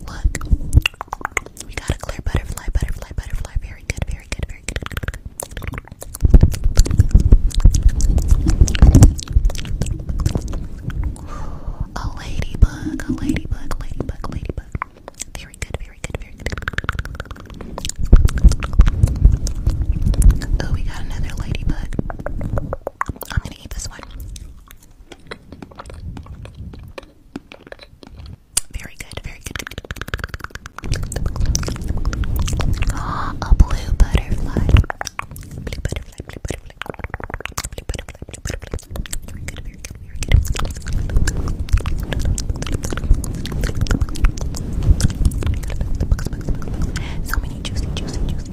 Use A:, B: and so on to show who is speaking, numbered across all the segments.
A: Look. We got a clear butterfly, butterfly, butterfly. Very good, very good, very good. A ladybug, a ladybug, ladybug, ladybug. Very good, very good, very good. Oh, we got another ladybug. I'm gonna eat this one. Very good, very good. Ah, a blue butterfly. Blue butterfly, blue butterfly. Blue butterfly, blue butterfly. Very good, very good, very good. So many juicy, juicy, juicy,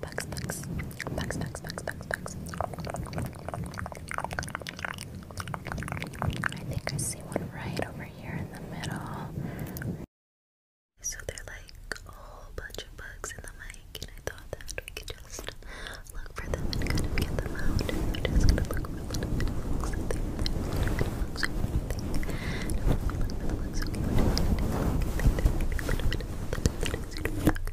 B: bugs, bugs, bugs, bugs, bugs, bugs,
C: I think I see one right over here in the middle. So they're like a whole bunch of bugs in the mic, and I thought that we could just look for them and kind of get them out. just look for a little bit of bugs. I think there's a little bit of Look for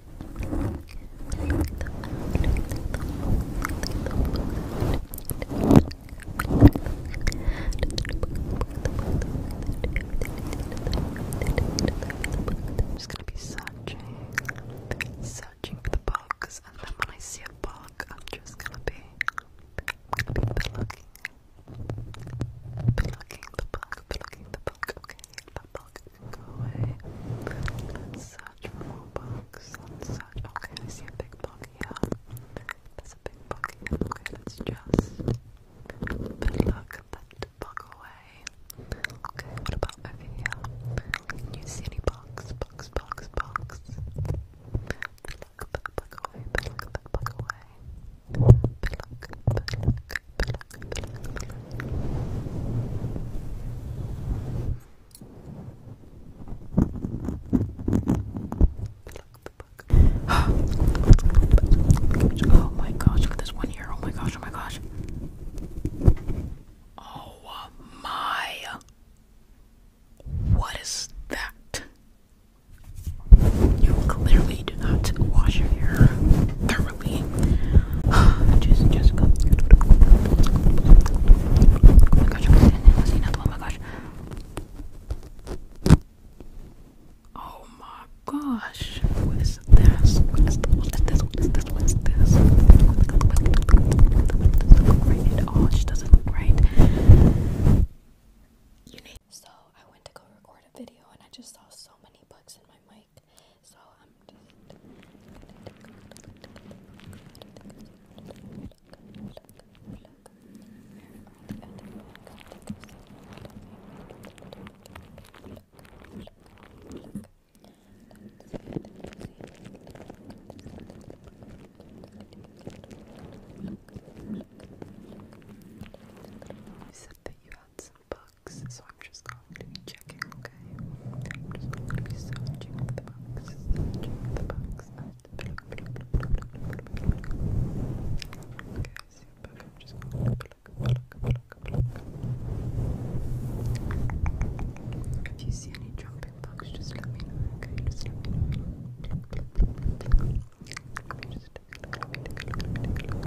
D: I'm just gonna be searching, searching for the Cause and then when I see a bug, I'm just gonna be, gonna be plugging, plugging the bug, plugging the bug, okay, the bug, Go away. Search for more books. Okay, I see a big book here. There's a big book Okay, let's just look that book away. Okay, what about over here? Can you see any books? Books,
C: books, books. Look, look, look away. Look, look, look away. Look, look, oh my gosh, look at this one here. Oh my gosh, oh my gosh. Oh my. What is that? You clearly do not wash your hair Oh my gosh, Oh my gosh. Oh my gosh. What is this? What is this? What is
E: this? What is this? What is all. She doesn't look right. So I went to go record a video and I just saw so many bugs in my mic like. So I'm just you
D: said that you had some bugs box, so I'm just going to be checking, okay? I'm just going to be searching for the box, searching for the box.
E: Okay, super. I'm just going to pluck, pluck, pluck, pluck. If you see any jumping bugs, just let me know, okay? Just let me know. Let me just take a look, let me take a look, let me take a look.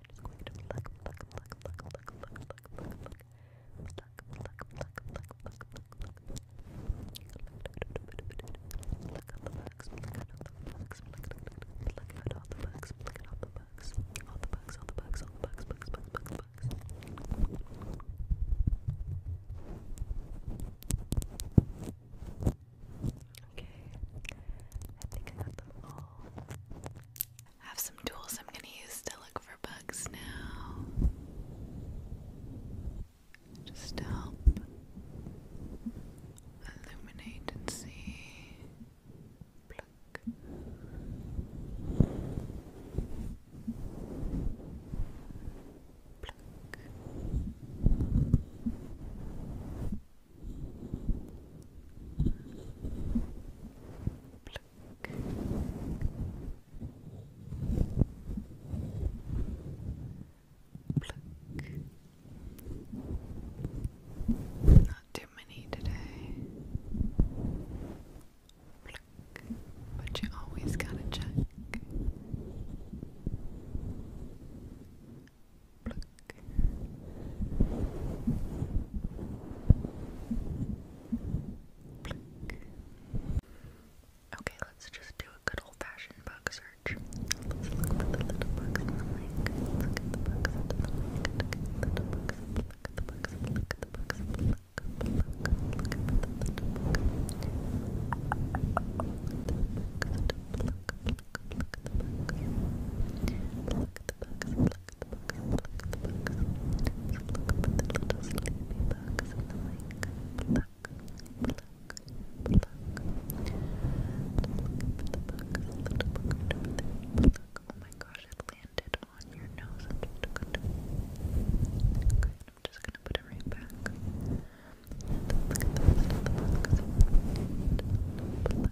F: just going to pluck, pluck, pluck, pluck, pluck, pluck, pluck, pluck, pluck, pluck, pluck, pluck, pluck, pluck, pluck, pluck. Pluck out the bugs, pluck out all the bugs, pluck out all the bugs, pluck out all the bugs, all the bugs, all the bugs, all the bugs, bugs, bugs, bugs, bugs. Okay, I think I got them all. I have some tools I'm gonna use to look for bugs now. Just to help illuminate and see. Pluck. Pluck. Pluck. Not too many today. But you always gotta check. Okay, let's just do a good old-fashioned bug search. Let's look for the little bugs in the mic. Look at the bugs in the mic. Look at the little Look at the bugs. Look at the bugs. Look, at the little Look, look, look, look, book, look at the book. Look at the books, look at the books, look at the books. So look for the little sleepy bugs in the lake. Pluck, pluck, pluck. And look for the bugs, the little book right over there. Pluck. Oh my gosh, it landed on your nose. I'm just gonna Okay, I'm just gonna put it right back. And look at the rest of the box. Pluck, pluck,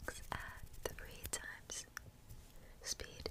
F: Bugs at three times Speed.